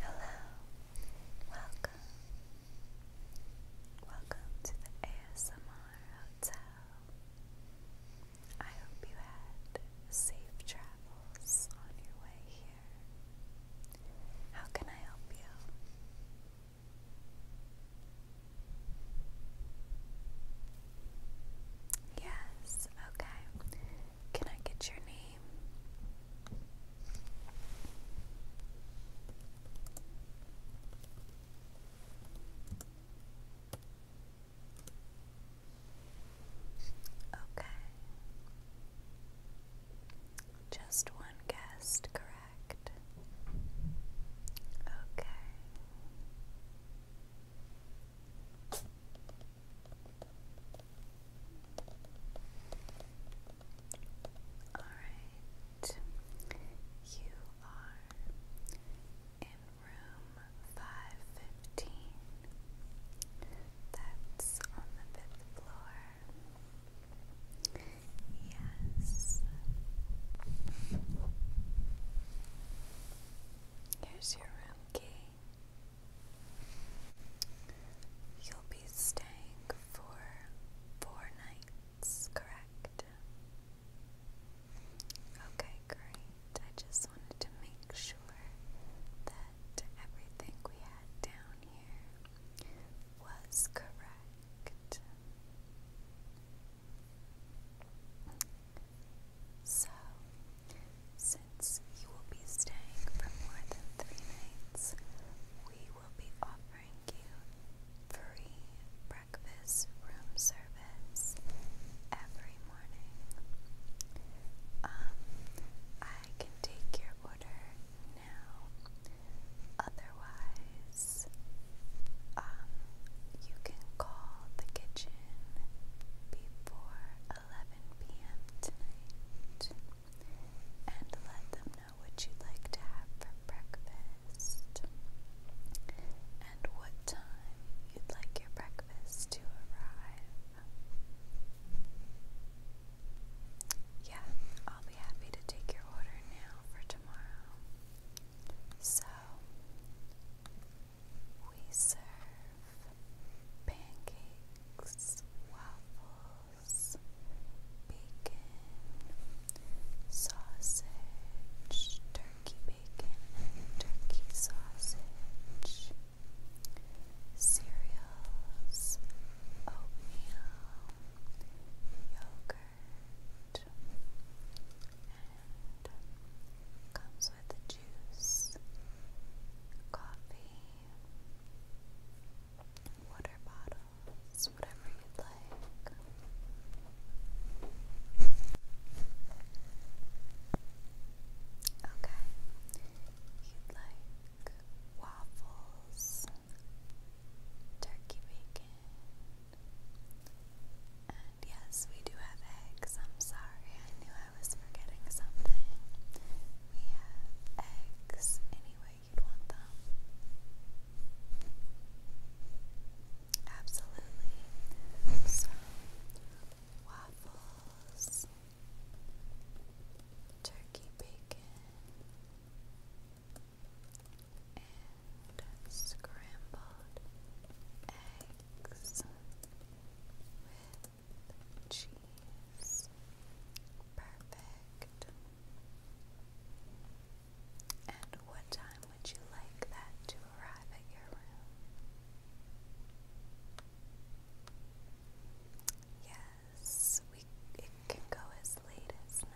Hello, welcome, welcome to the ASMR Hotel. I hope you had safe travels on your way here. How can I help you? Yes, okay. Can I get your name? Okay. Just one guest, correct. Okay. All right. You are in room 515. That's on the fifth floor. Yes. Here's your room key. You'll be staying for four nights, correct? Okay, great. I just wanted to make sure that everything we had down here was correct. So, since you will be staying for more than three nights, we will be offering you free breakfast room service every morning. Um, I can take your order Otherwise, um, you can call the kitchen before 11 p.m. tonight and let them know what you'd like to have for breakfast and what time you'd like your breakfast to arrive. Yeah, I'll be happy to take your order now for tomorrow. So, we serve pancakes, waffles, bacon, sausage, turkey bacon, and turkey sausage cereals, oatmeal, yogurt, and comes with juice, coffee, water bottles, whatever you'd like. Okay, you'd like waffles, turkey bacon, and yes, we do have eggs. I'm sorry, I knew I was forgetting something. We have eggs any way you'd want them. Absolutely. So, waffles, turkey bacon, and scrambled eggs with cheese. Perfect. And what time would you like that to arrive at your room? Yes, we it can go as late as 9:30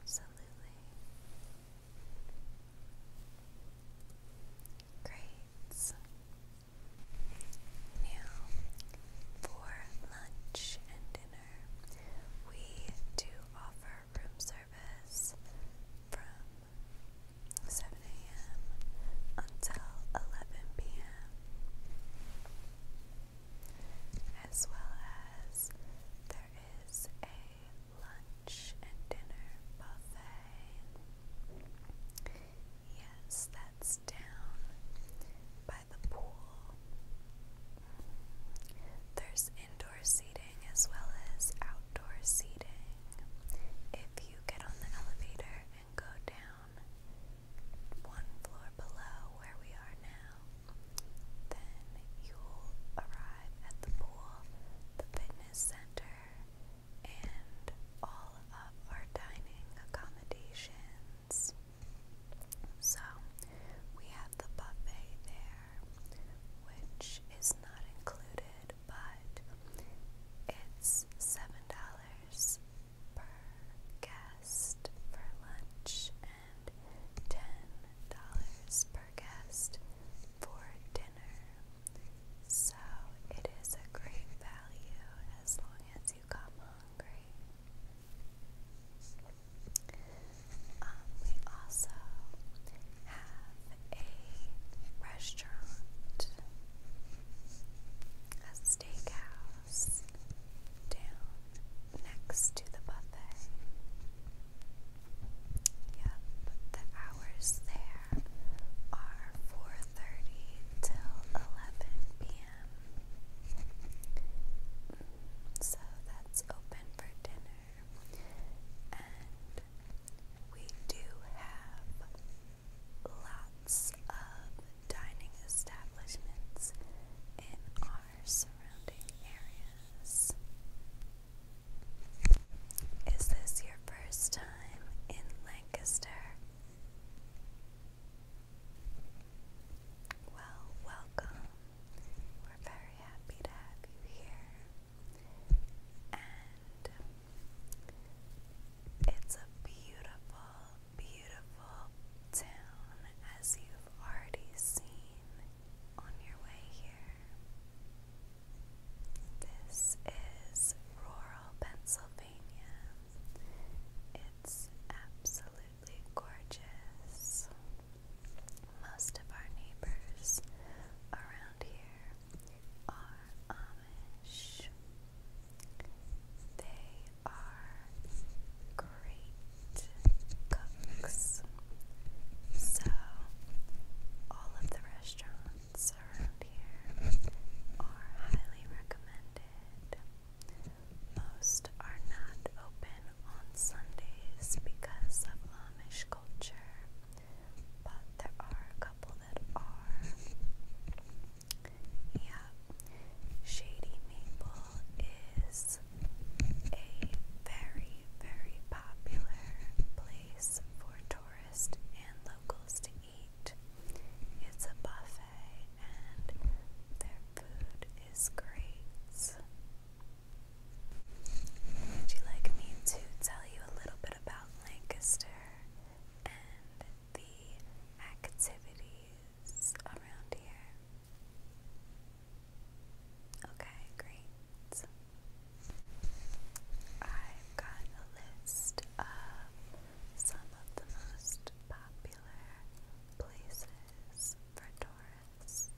absolutely great now for lunch and dinner we do offer room service from 7 a.m. until 11 p.m. As well as there is a lunch and dinner buffet. Yes, that's down by the pool. There's indoor seating as well as outdoor seating if you get on the elevator and go down one floor below where we are now, then you'll arrive at the pool, the fitness center, and all of our dining accommodations. So, we have the buffet there, which is not included but it's $7 per guest for lunch and $10 per guest for dinner. So it is a great value as long as you come hungry. Um, we also have a restaurant, a steakhouse down next to the buffet. Yep, the hours there are 4:30 till 11 p.m. Mm, so that's open for dinner and we do have lots of dining establishments in our surrounding areas. Is this your first time in Lancaster? Well, welcome. We're very happy to have you here and it's a beautiful, beautiful town as you've already seen on your way here. This is rural Pennsylvania. It's absolutely gorgeous. Most of our neighbors around here are Amish. They are um, great cooks. So, all of the restaurants around here are highly recommended. Most are not open on Sundays because of Amish culture, but there are a couple that are. Yeah, Shady Maple is a very, very popular place for tourists and locals to eat. It's a buffet and their food is great. Would you like me to tell you a little bit about Lancaster and the activities around here. Okay, great. I've got a list of some of the most popular places for tourists.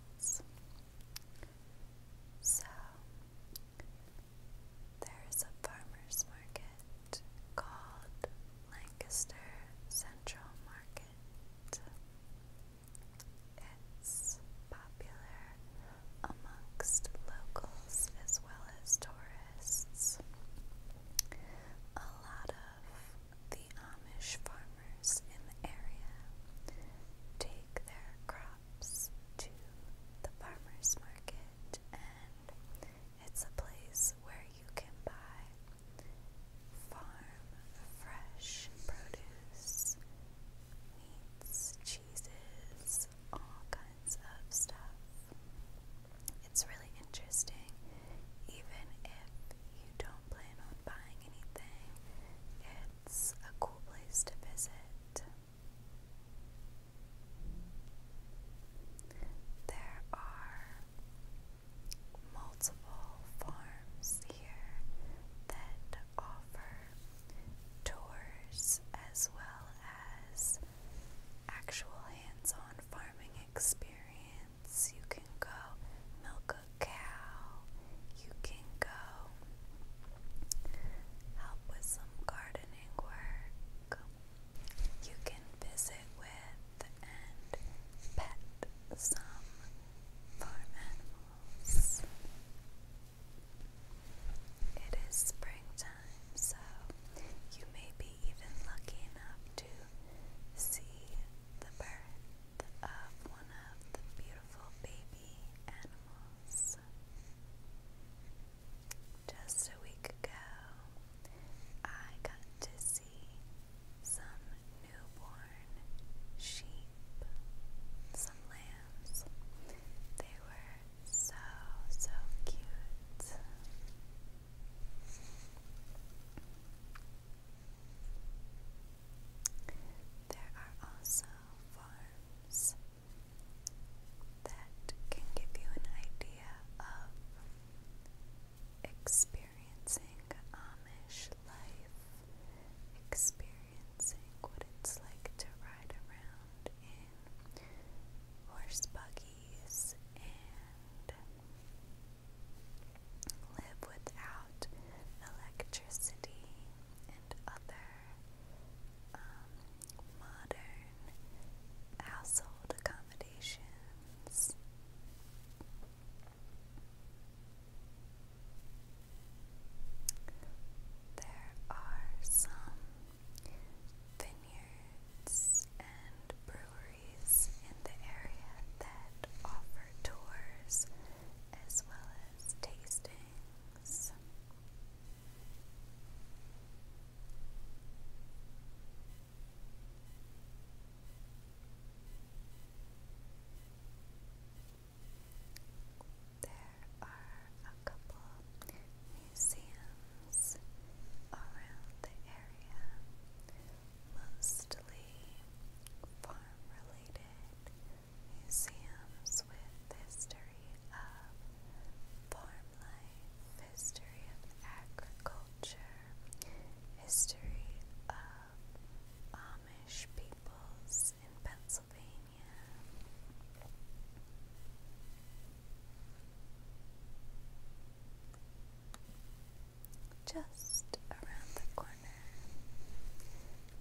So, there is a farmer's market called Lancaster Central Market. It's popular amongst locals as well as tourists. A lot of the Amish farmers in the area take their crops shops to the farmer's market, and it's a place where you can buy farm fresh produce, meats, cheeses, all kinds of stuff. It's really interesting, even if you don't plan on buying anything, it's a cool place to visit. There are multiple farms here that offer tours as well as actual hands on farming experience. You can go milk a cow, you can go help with some garden gardening work you can visit with and pet some farm animals. It is springtime, so you may be even lucky enough to see the birth of one of the beautiful baby animals. Just a week ago, I got to see some newborn sheep, some lambs. They were so, so cute. There are also farms that can give you an idea of experiencing Amish life, experiencing what it's like to ride around in horse buggies and live without electricity and other um, modern household accommodations. There are some vineyards and breweries in the area that offer tours as well as tastings. There are a couple museums around the area, mostly farm related museums with history of farm life, history of agriculture, history of Amish peoples in Pennsylvania. Just around the corner,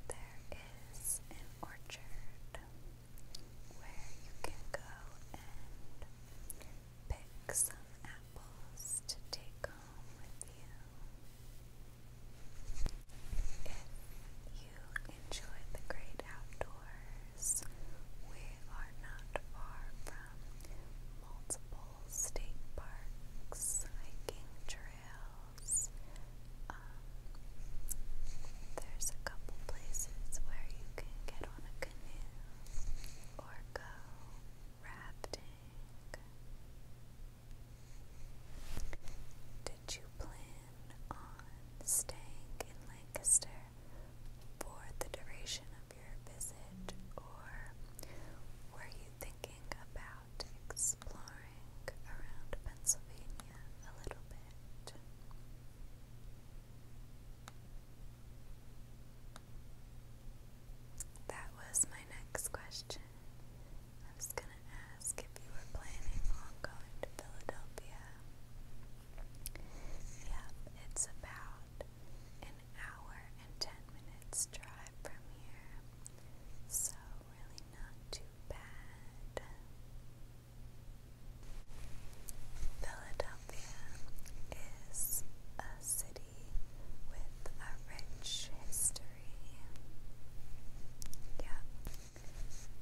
there is an orchard where you can go and pick some apples to take home with you. If you enjoy the great outdoors, we are not far from multiple state parks, hiking trails, um, there's a couple places where you can get on a canoe or go rafting. Did you plan on staying in Lancaster for the duration of your visit, or were you thinking about exploring around Pennsylvania a little bit? That was my next question. I was going to ask if you were planning on going to Philadelphia. Yep, it's about an hour and ten minutes drive from here, so really not too bad. Philadelphia is a city with a rich history. Yeah,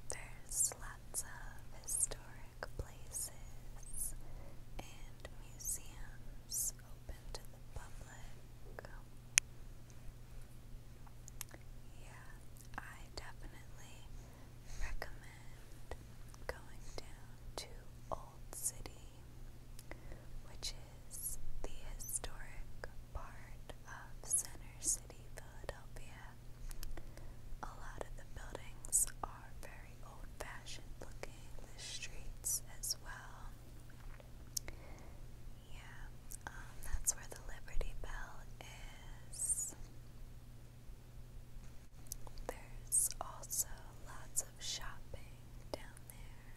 there's lots of historic places and museums open to the public. Yeah, I definitely recommend going down to Old City, which is the historic part of Center City, Philadelphia. A lot of the buildings are very old fashioned looking, the streets as well. Yeah, um, that's where the Liberty Bell is. There's also lots of shopping down there.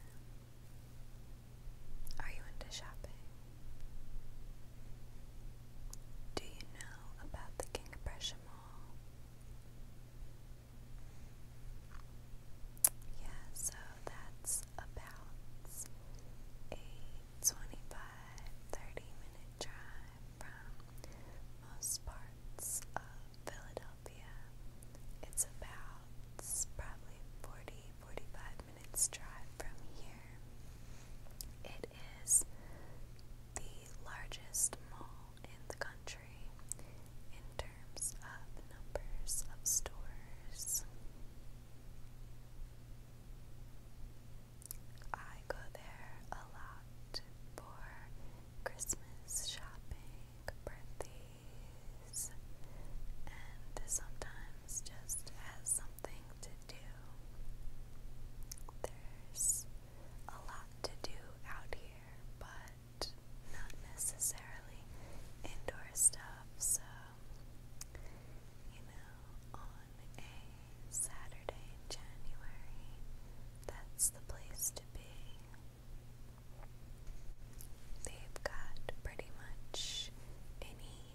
Are you into shopping? Do you know about the King of Prussia Mall? Yeah, so that's about a 25 minute drive from most parts of Philadelphia. It's about probably 40 minutes drive from here. It is the largest mall in the country in terms of numbers of stores. I go there a lot for Christmas shopping, birthdays, and sometimes just as something to do. There's a lot to do out here, but not necessarily indoor stuff, so you know, on a Saturday, January. That's the place to be. They've got pretty much any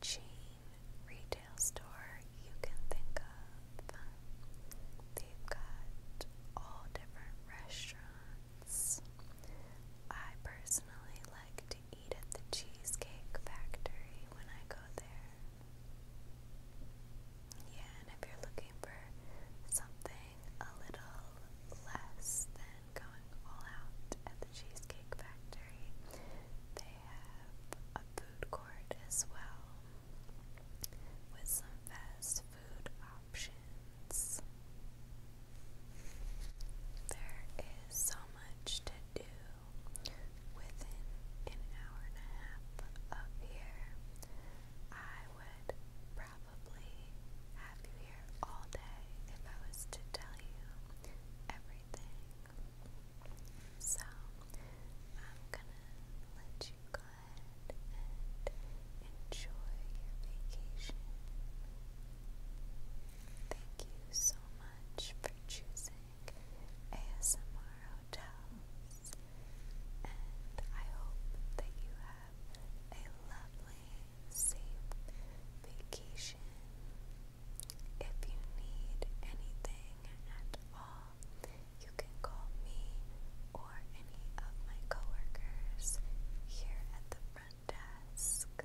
chain retail store you can think of. They've got all different restaurants. I personally like to eat at the Cheesecake Factory when I go there. Yeah, and if you're looking for something a little less than going all out at the Cheesecake Factory, they have a food court as well with some fast food options. There is so much to do within an hour and a half of here, I would probably have you here all day if I was to tell you everything. So, I'm gonna let you go ahead and enjoy your vacation. Thank you so much for choosing ASMR hotels, I hope that you have a lovely, safe vacation. If you need anything at all, you can call me or any of my coworkers here at the front desk.